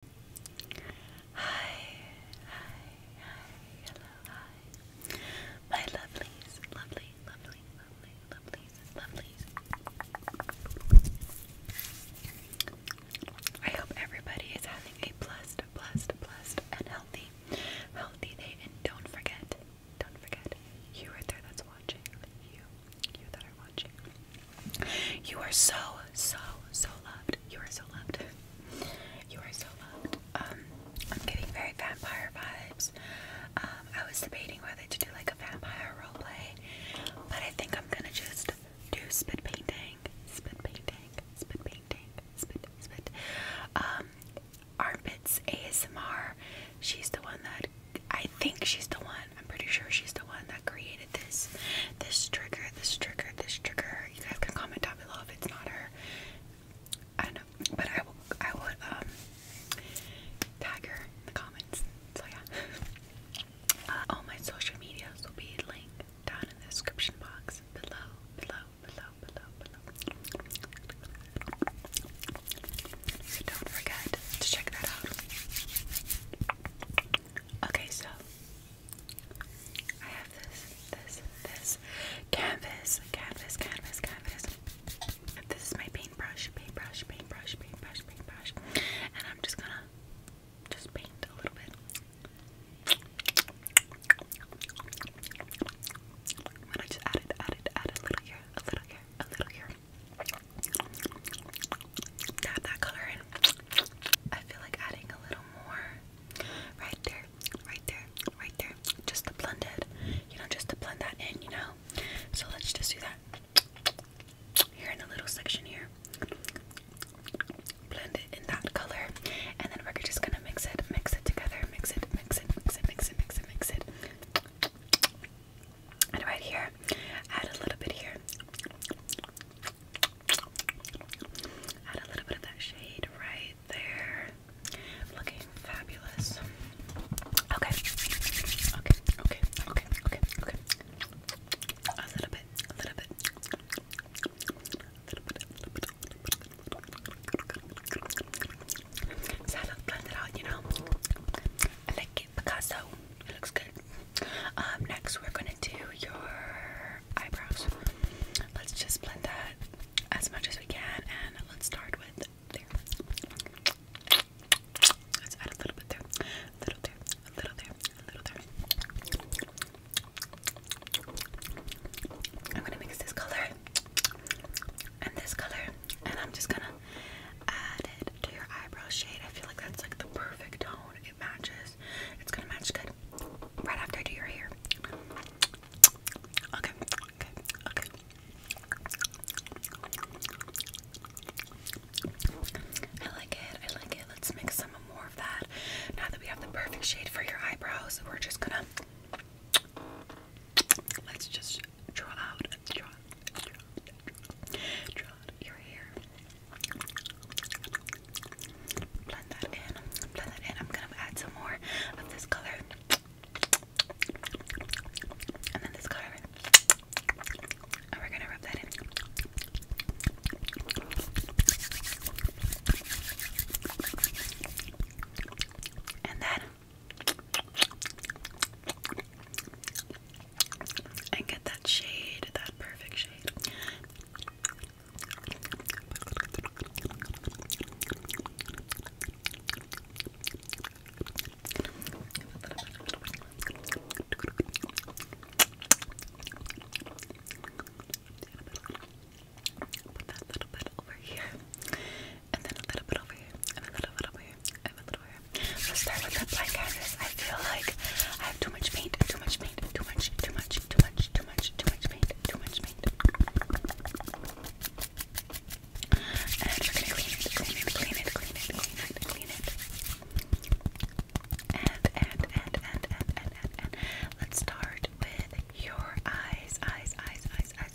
Hi, hi, hi, hello, hi. My lovelies, lovely, lovely, lovelies, lovelies. I hope everybody is having a blessed, blessed, blessed, and healthy, healthy day. And don't forget, don't forget, you right there that's watching, you, you that you are so, so, so loved. You are so loved. You are so loved. Um, I'm getting very vampire vibes. Um, I was debating whether to do like a vampire roleplay, but I think I'm gonna just do spit painting, spit painting, spit painting, spit, spit. Um, Armpits ASMR. She's the one that I think she's the one I'm pretty sure she's the one that created this this trigger, this trigger, this trigger. You guys can comment down below if it's not her. I don't but I will I would um, tag her in the comments. So yeah. Uh, all my social media will be linked down in the description box below, below, below, below, below. don't forget to check that out. Okay, so I have this, this, this canvas, canvas, canvas, canvas. This is my paintbrush, paintbrush, paintbrush, paintbrush, paintbrush, and I'm just gonna just paint a little bit. i just add it, add a little here, a little here, a little here, Dab that color in. I feel like adding a little more right there, right there, right there. Just to blend it, you know, just to blend that in, you know. So let's just do that here in the little section here. Blend it in that color, and then we're just gonna mix it, mix it together, mix it, mix it, mix it, mix it, mix it, mix it. And right here, add a little bit here. Add a little bit of that shade right there. Looking fabulous. Okay. Okay, okay, okay, okay, okay. A little bit, a little bit. A little bit, a little bit, a little bit, a little bit. So I look blended out, you know? I like it, Picasso. It looks good. Um, next, we're gonna do your eyebrows. Let's just blend that as much as we can, and let's start with there. Let's add a little bit there, little there, a little there, a little there. I'm gonna mix this color and this color and I'm just gonna add it to your eyebrow shade. I feel like that's like the perfect tone. It matches. It's gonna match good right after I your hair. Okay, okay, okay. I like it. I like it. Let's mix some more of that. Now that we have the perfect shade for your eyebrows, we're just gonna let's just draw out, draw, draw, draw, draw out your hair. Blend that in, blend that in. I'm gonna add some more of this color. And then this color. And we're gonna rub that in. And then and get that shade, that perfect shade. Put little bit over here and then a little bit over here, and a little bit over here, and a little here. Let's start with the black canvas. I feel like I have too much paint, too much paint, too much, too much, too much, too much, paint, too much paint. And we're gonna clean it, clean it, clean it, clean it, clean it, clean it. and and and and and and and let's start with your eyes, eyes, eyes, eyes, eyes.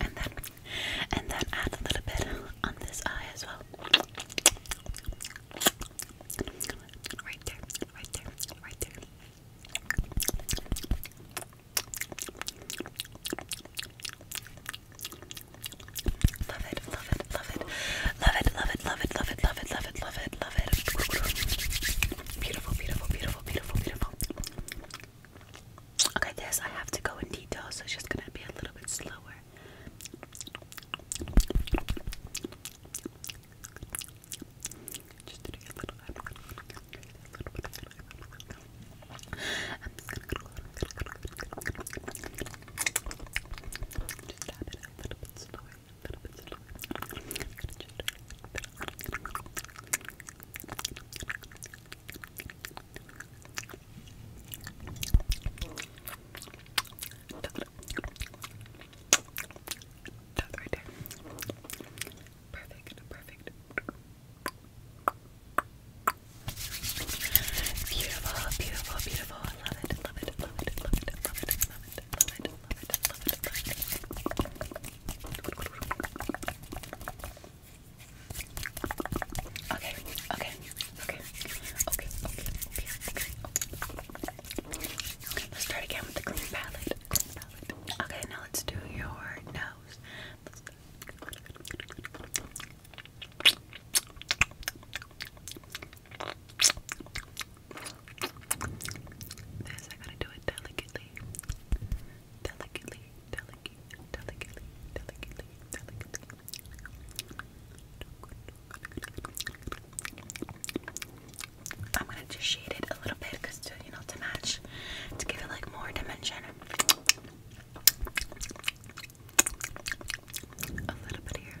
And then and then add a little bit on this eye as well. Right there, right there, right there. Love it, love it, love it, love it, love it, love it, love it, love it, love it, love it, Beautiful, beautiful, beautiful, beautiful, beautiful. Okay, this I have to go in detail, so it's just gonna be a little bit slower little bit Beautiful, beautiful, beautiful. I love it, love it, love it, love it, love it, love it. Okay, okay, okay, okay, okay, okay, let's start again with the green palette. Okay, now let's do your nose. This I gotta do it delicately. Delicately, delicate, delicately, delicately, delicately. I'm gonna just shade it a little bit because to you know to match to give it like more dimension. A little bit here.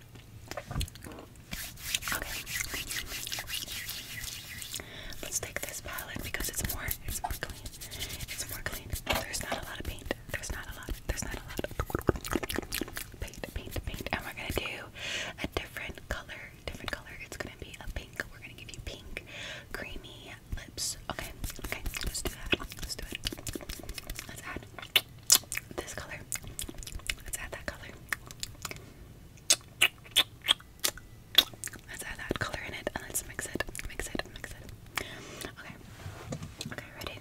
Okay. Let's take this palette because it's more it's more clean. It's more clean. There's not a lot of paint. There's not a lot. There's not a lot of paint, paint, paint. And we're gonna do a different color. Different color. It's gonna be a pink. We're gonna give you pink, creamy lips. Okay, okay, let's do that. Let's do it. Let's add this color. Let's add that color. Let's add that color in it and let's mix it. Mix it, mix it. Okay. Okay, ready?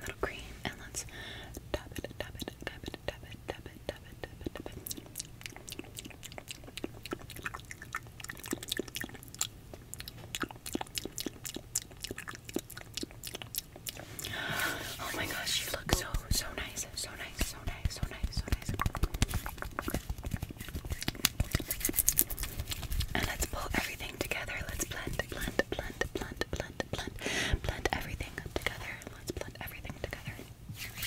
little cream, and let's tap it, tap it, tap it, tap it, tap it, tap it, tap it, tap it. Oh my gosh, you look so so nice, so nice, so nice, so nice, so nice. And let's pull everything together. Let's blend, blend, blend, blend, blend, blend, blend, blend everything together. Let's blend everything together.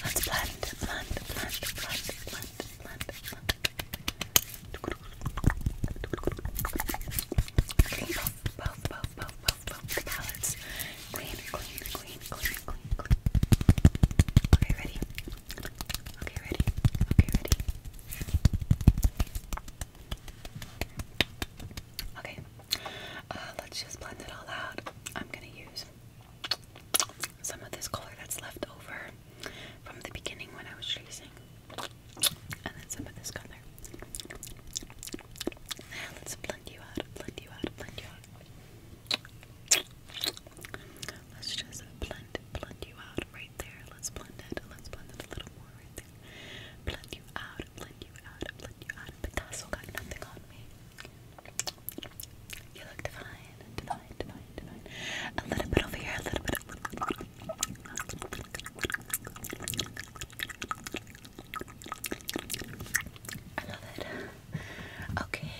Let's blend, blend, blend, blend, blend, blend, blend. Clean both, both, both, both, both, both the palettes. Clean, clean, clean, clean, clean, clean. Okay, ready? Okay, ready? Okay, ready? Okay, uh, let's just blend it all out. I'm gonna use some of this color that's left over from the beginning when I was tracing, and then some of this color. let's blend you out, blend you out, blend you out. Let's just blend, blend you out right there. Let's blend it. Let's blend it a little more right there. Blend you out, blend you out, blend you out. But that's got nothing on me. You look divine, divine, divine, divine. A little bit over here, A little bit. I love it. Okay.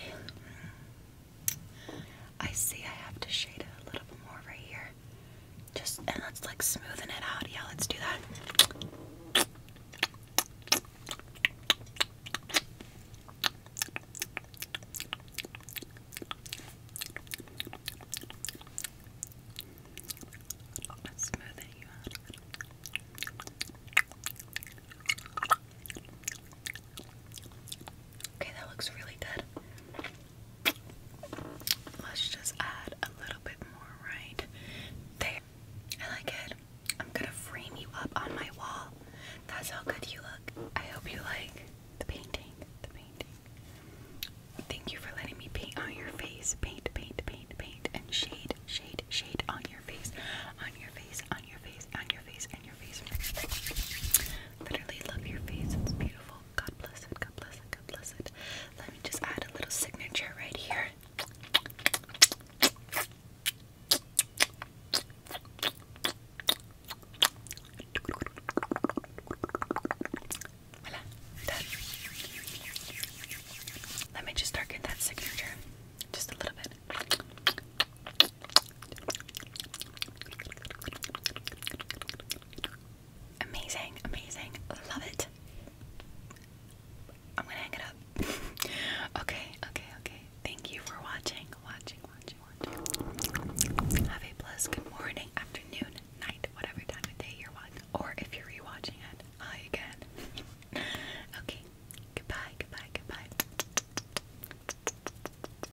I see I have to shade it a little bit more right here. Just and let's like smoothen it out. Yeah, let's do that. Okay, that looks really good. Let's just add a little bit more right there. I like it. I'm gonna frame you up on my wall. That's how good you look. I hope you like the painting. The painting. Thank you for letting me paint on your face. Paint, paint, paint, paint, and shade, shade, shade on your face, on your face, on your face, on your face, and your face. Literally love your face. It's beautiful. God bless it. God bless it. God bless it. Let me just add a little signature right here. Let me just darken that signature just a little bit. Amazing, amazing. Love it. I'm gonna hang it up. okay, okay, okay. Thank you for watching, watching, watching, watching. Have a blessed good morning, afternoon, night, whatever time of day you're watching, or if you're rewatching it, oh, okay, goodbye, goodbye, goodbye.